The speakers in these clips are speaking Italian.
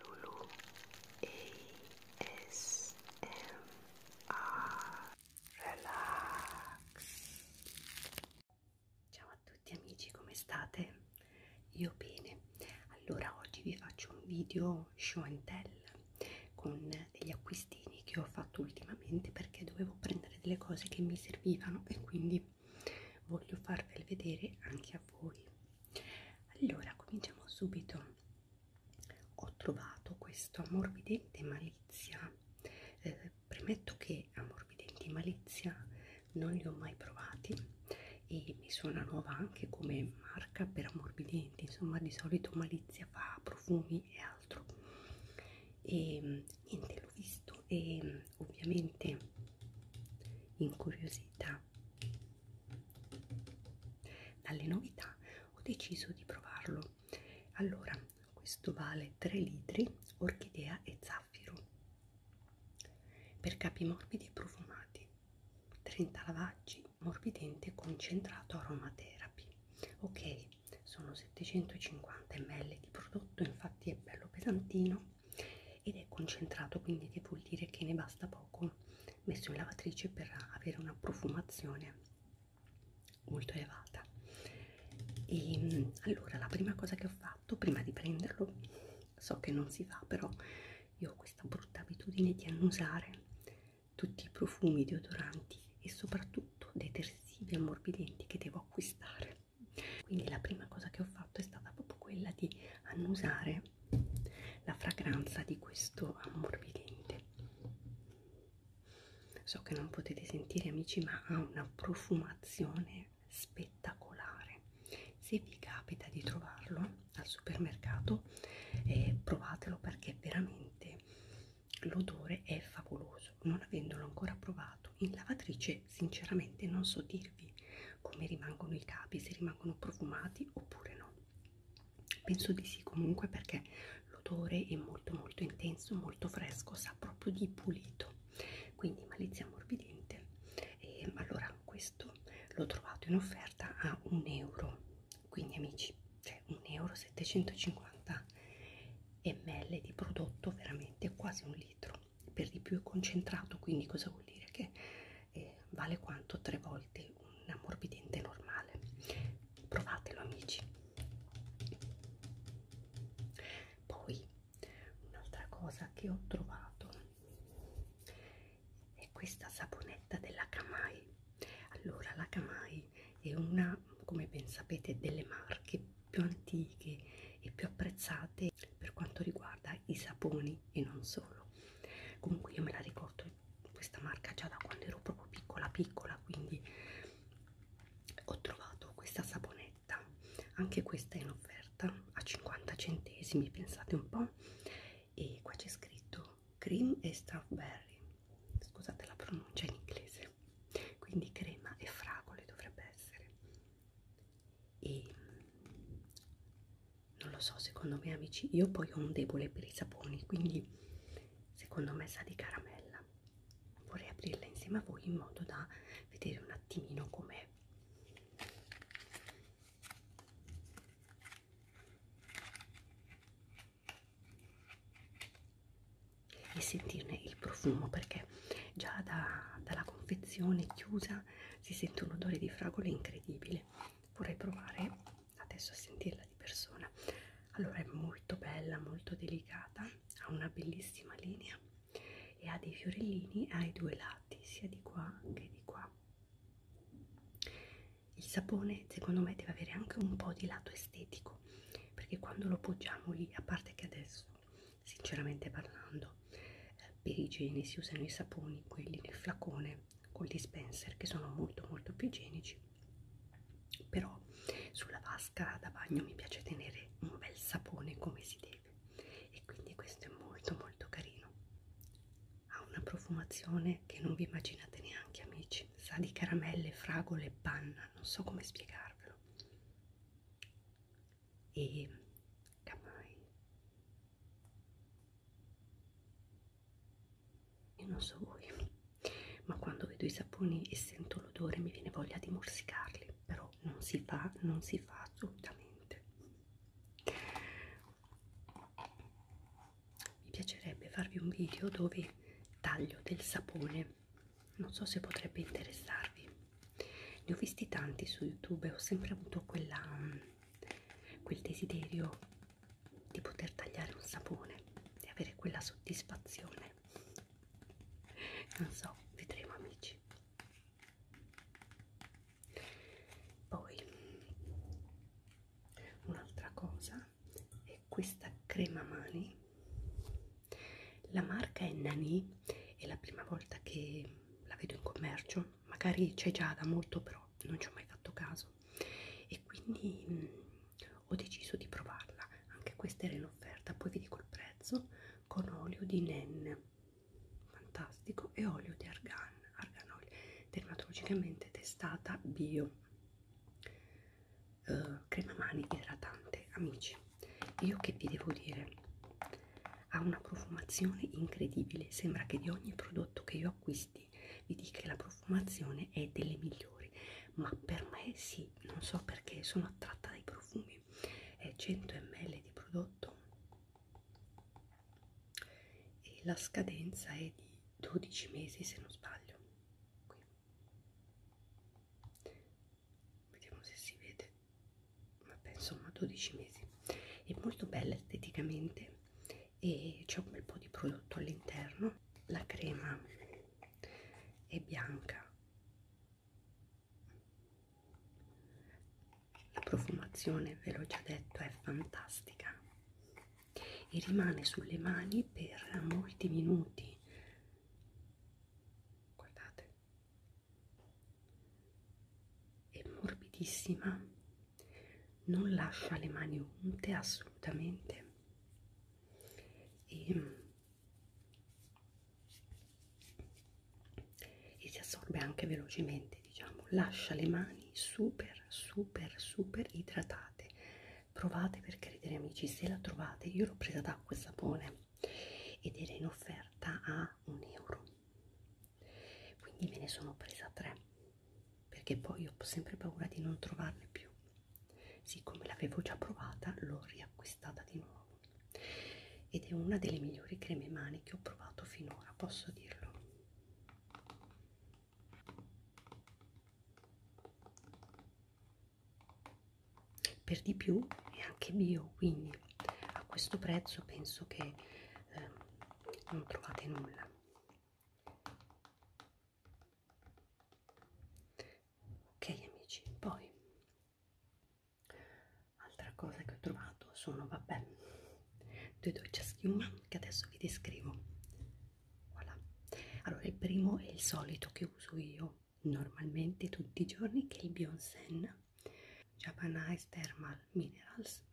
Lulu ASMR Relax Ciao a tutti amici, come state? Io bene. Allora oggi vi faccio un video show and tell con degli acquistini che ho fatto ultimamente perché dovevo prendere delle cose che mi servivano e quindi voglio farvele vedere anche a voi allora cominciamo subito ho trovato questo ammorbidente malizia eh, premetto che ammorbidenti malizia non li ho mai provati e mi suona nuova anche come marca per ammorbidenti insomma di solito malizia fa profumi e altro e ehm, niente l'ho visto e ovviamente incuriosita dalle novità ho deciso di provarlo allora questo vale 3 litri orchidea e zaffiro per capi morbidi e profumati 30 lavaggi morbidente concentrato aromatherapy ok sono 750 ml di prodotto infatti è bello pesantino ed è concentrato quindi che vuol dire che ne basta poco messo in lavatrice per avere una profumazione molto elevata e ehm, allora la prima cosa che ho fatto prima di prenderlo so che non si fa però io ho questa brutta abitudine di annusare tutti i profumi deodoranti e soprattutto detersivi ammorbidenti che devo acquistare quindi la prima cosa che ho fatto è stata proprio quella di annusare la fragranza di questo ammorbidente. So che non potete sentire amici, ma ha una profumazione spettacolare. Se vi capita di trovarlo al supermercato, eh, provatelo perché veramente l'odore è favoloso. Non avendolo ancora provato fatto in lavatrice sinceramente non so dirvi come rimangono i capi se rimangono profumati oppure no penso di sì comunque perché l'odore è molto molto intenso molto fresco sa proprio di pulito quindi malizia morbidente e allora questo l'ho trovato in offerta a un euro quindi amici cioè un euro 750 ml di prodotto veramente quasi un litro per di più è concentrato, quindi cosa vuol dire? Che eh, vale quanto tre volte un ammorbidente normale. Provatelo amici. Poi un'altra cosa che ho trovato è questa saponetta della Kamai. Allora la Kamai è una, come ben sapete, delle marche più antiche e più apprezzate per quanto riguarda i saponi e non solo comunque io me la ricordo questa marca già da quando ero proprio piccola piccola quindi ho trovato questa saponetta anche questa è in offerta a 50 centesimi pensate un po' e qua c'è scritto cream e strawberry scusate la pronuncia in inglese quindi crema e fragole dovrebbe essere e mm, non lo so secondo me amici io poi ho un debole per i saponi quindi secondo me sa di caramella vorrei aprirla insieme a voi in modo da vedere un attimino com'è e sentirne il profumo perché perché già da, dalla confezione chiusa si sente un odore di fragole incredibile. Vorrei provare adesso a sentirla di persona. Allora è molto bella, molto delicata, ha una bellissima linea e ha dei fiorellini ai due lati, sia di qua che di qua. Il sapone secondo me deve avere anche un po' di lato estetico perché quando lo poggiamo lì, a parte che adesso sinceramente parlando eh, per igiene si usano i saponi quelli nel flacone col dispenser che sono molto molto più igienici però sulla vasca da bagno mi piace tenere un bel sapone come si deve e quindi questo è molto molto carino ha una profumazione che non vi immaginate neanche amici sa di caramelle fragole panna non so come spiegarvelo e Kamai. Io non so voi, ma quando vedo i saponi e sento l'odore mi viene voglia di morsicarli, però non si fa, non si fa assolutamente. Mi piacerebbe farvi un video dove taglio del sapone che non so se potrebbe interessarvi. Ne ho visti tanti su YouTube e ho sempre avuto quella, mm, quel desiderio di poter tagliare un sapone e avere quella soddisfazione. Non so, vedremo amici. Poi un'altra cosa è questa crema mani la marca è Nani, è la prima volta che la vedo in commercio, magari c'è già da molto però non ci ho mai fatto caso e quindi mh, mm, ho deciso di provarla, anche questa era in offerta, poi vi dico il prezzo con olio di Nen, fantastico, e olio di Argan, Argan Oil, dermatologicamente testata bio uh, crema mani idratante amici io che vi devo dire ha una profumazione incredibile sembra che di ogni prodotto che io acquisti vi dica che la profumazione è delle migliori ma per me sì non so perché sono attratta dai profumi è 100 ml di prodotto e la scadenza è di 12 mesi se non sbaglio qui vediamo se si vede vabbè insomma 12 mesi è molto bella esteticamente e c'è un bel po' di prodotto all'interno la crema è bianca la profumazione ve l'ho già detto è fantastica e rimane sulle mani per molti minuti guardate è morbidissima non lascia le mani unte assolutamente e, ehm, e si assorbe anche velocemente diciamo lascia le mani super super super idratate provate per credere amici se la trovate io l'ho presa da acqua e sapone ed era in offerta a un euro quindi me ne sono presa tre perché poi ho sempre paura di non trovarne più siccome l'avevo già provata l'ho riacquistata di nuovo ed è una delle migliori creme mani che ho provato finora posso dirlo per di più è anche bio quindi a questo prezzo penso che eh, non trovate nulla ok amici poi altra cosa che ho trovato sono vabbè due docce a schiuma che adesso vi descrivo voilà. allora il primo è il solito che uso io normalmente tutti i giorni che è il Bionsen Japan Ice Thermal Minerals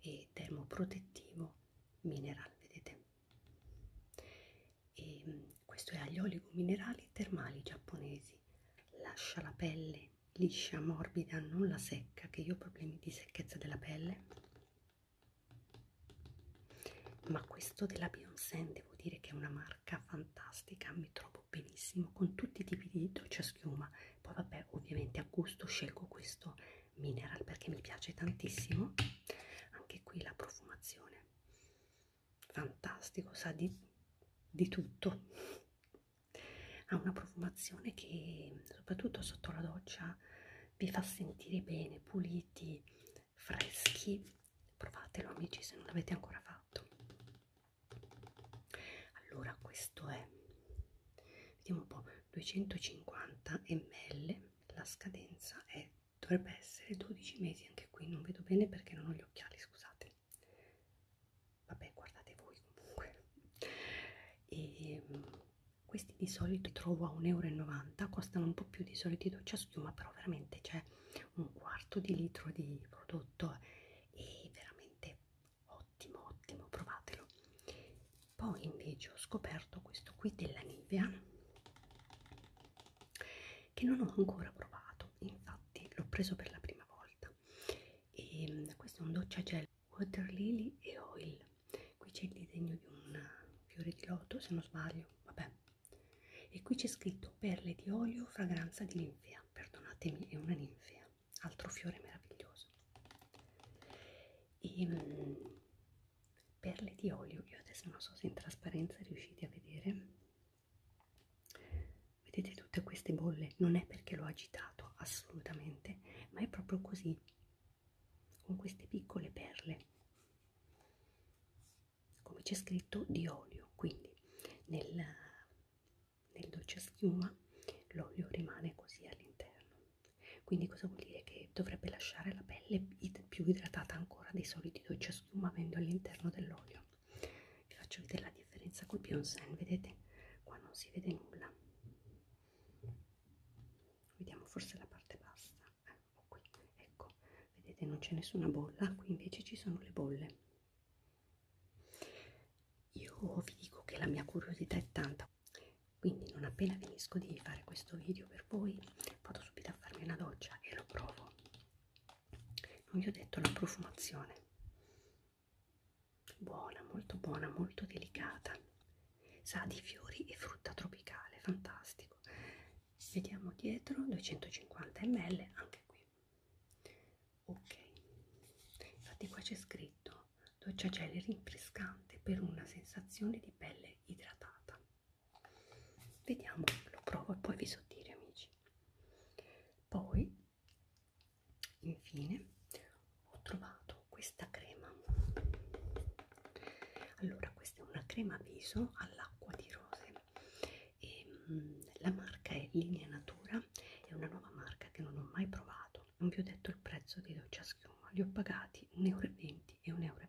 e termoprotettivo mineral vedete e mm, questo è agli olio minerali termali giapponesi lascia la pelle liscia morbida non la secca che io ho problemi di secchezza della pelle ma questo della Beyoncé devo dire che è una marca fantastica mi trovo benissimo con tutti i tipi di doccia schiuma poi vabbè ovviamente a gusto scelgo questo mineral perché mi piace tantissimo anche qui la profumazione fantastico sa di, di tutto ha una profumazione che soprattutto sotto la doccia vi fa sentire bene puliti freschi provatelo amici se non l'avete ancora fatto allora questo è vediamo un po 250 ml la scadenza è dovrebbe essere 12 mesi anche qui non vedo bene perché non ho gli occhiali scusate vabbè guardate voi comunque e ehm, questi di solito trovo a 1,90 euro costano un po' più di solito doccia schiuma però veramente c'è un quarto di litro di prodotto e veramente ottimo ottimo provatelo poi invece ho scoperto questo qui della Nivea che non ho ancora provato infatti l'ho preso per la prima volta e ehm, questo è un doccia gel water lily e oil qui c'è il disegno di un fiore di loto se non sbaglio vabbè e qui c'è scritto perle di olio fragranza di ninfea perdonatemi è una ninfea altro fiore meraviglioso e um, perle di olio io adesso non so se in trasparenza riuscite a vedere vedete tutte queste bolle non è perché l'ho agitato assolutamente ma è proprio così con queste piccole perle come c'è scritto di olio quindi nel, nel dolce schiuma l'olio rimane così all'interno quindi cosa vuol dire che dovrebbe lasciare la pelle id più idratata ancora dei soliti dolce schiuma avendo all'interno dell'olio vi faccio vedere la differenza col Pionsen vedete qua non si vede nulla vediamo forse la parte bassa eh, o qui ecco vedete non c'è nessuna bolla qui invece ci sono le bolle io vi dico che la mia curiosità è tanta quindi non appena finisco di fare questo video per voi vado subito a farmi una doccia e lo provo non vi ho detto la profumazione buona molto buona molto delicata sa di fiori e frutta tropicale, fantastico. Vediamo dietro, 250 ml, anche qui. Ok, infatti qua c'è scritto doccia gel rinfrescante per una sensazione di pelle idratata. Vediamo, lo provo e poi vi so dire amici. Poi, infine, ho trovato comprato questa crema allora questa è una crema viso all'acqua di rose e ehm, mh, la marca è linea natura è una nuova marca che non ho mai provato non vi ho detto il prezzo di doccia schiuma li ho pagati 1,20 euro e 1,20 euro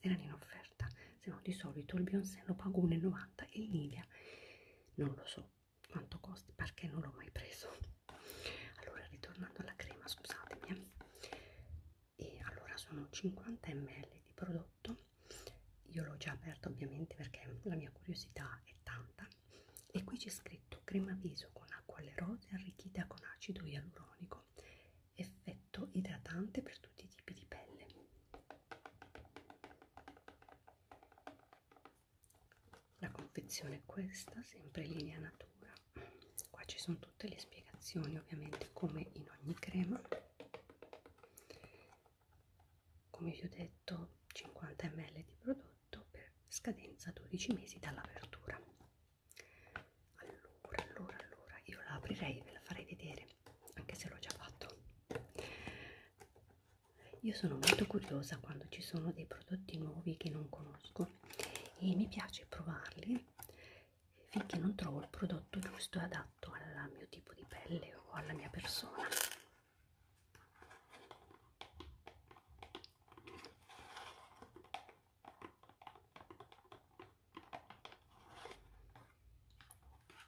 erano in offerta se no di solito il Beyoncé lo pago 1,90 e il Nivea non lo so quanto costi perché non l'ho mai preso allora ritornando alla crema scusatemi eh. e allora sono 50 ml di prodotto io l'ho già aperto ovviamente perché la mia curiosità è tanta e qui c'è scritto crema viso con acqua alle rose arricchita con acido ialuronico effetto idratante per tutti i tipi di pelle la confezione è questa sempre linea natura qua ci sono tutte le spiegazioni ovviamente come in ogni crema come vi ho detto 50 ml di prodotto per scadenza 12 mesi dall'apertura allora allora allora io la aprirei e ve la farei vedere anche se l'ho già fatto io sono molto curiosa quando ci sono dei prodotti nuovi che non conosco ecco e mi piace provarli finché non trovo il prodotto giusto e adatto al mio tipo di pelle o alla mia persona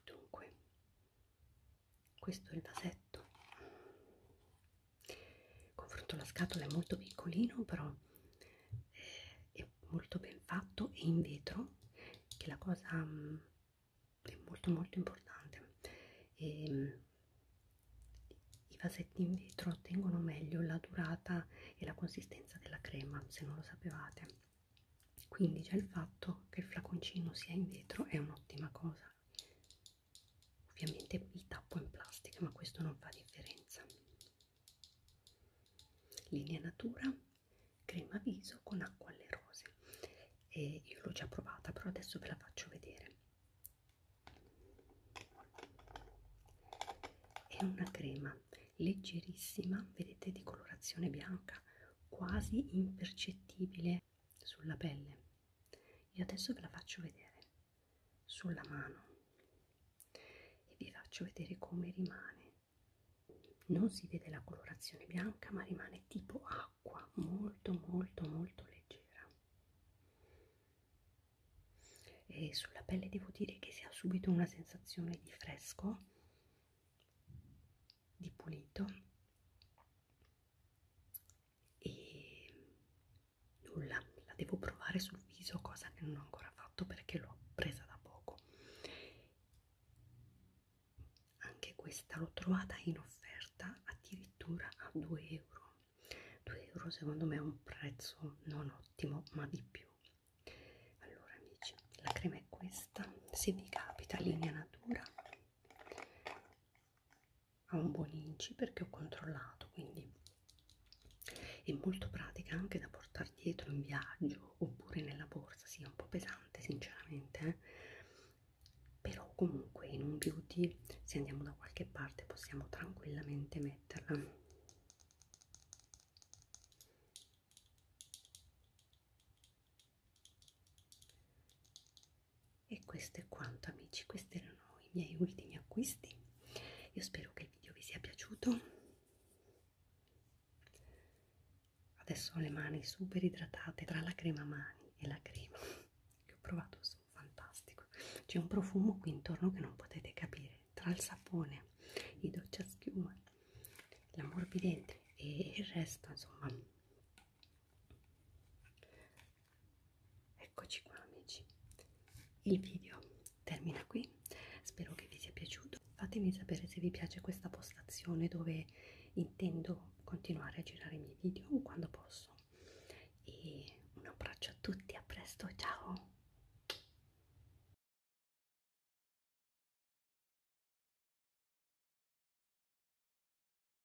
dunque questo è il vasetto confronto la scatola è molto piccolino però eh, è molto ben fatto e in vetro che la cosa mh, mm, è molto molto importante e, ehm, mh, i vasetti in vetro ottengono meglio la durata e la consistenza della crema se non lo sapevate quindi già il fatto che il flaconcino sia in vetro è un'ottima cosa ovviamente il tappo è in plastica ma questo non fa differenza linea natura crema viso con acqua alle rose e io l'ho già provata però adesso ve la faccio vedere è una crema leggerissima vedete di colorazione bianca quasi impercettibile sulla pelle io adesso ve la faccio vedere sulla mano e vi faccio vedere come rimane non si vede la colorazione bianca ma rimane tipo acqua molto molto molto leggera e sulla pelle devo dire che si ha subito una sensazione di fresco di pulito e nulla, la devo provare sul viso, cosa che non ho ancora fatto perché l'ho presa da poco. Anche questa l'ho trovata in offerta addirittura a 2 euro. 2 euro secondo me è un prezzo non ottimo, ma di più. Allora amici, la crema è questa, se vi capita linea natura ha un buon inci perché ho controllato quindi è molto pratica anche da portare dietro in viaggio oppure nella borsa sì è un po' pesante sinceramente eh? però comunque in un beauty se andiamo da qualche parte possiamo tranquillamente metterla e questo è quanto amici, questi erano i miei ultimi acquisti. Io spero che il video vi sia piaciuto. Adesso ho le mani super idratate tra la crema mani e la crema che ho provato, sono fantastico. C'è un profumo qui intorno che non potete capire, tra il sapone, i doccia schiuma, la morbidente e il resto, insomma, Eccoci qua amici, il video termina qui, spero che vi sia piaciuto, fatemi sapere se vi piace questa postazione dove intendo continuare a girare i miei video quando posso e un abbraccio a tutti, a presto, ciao!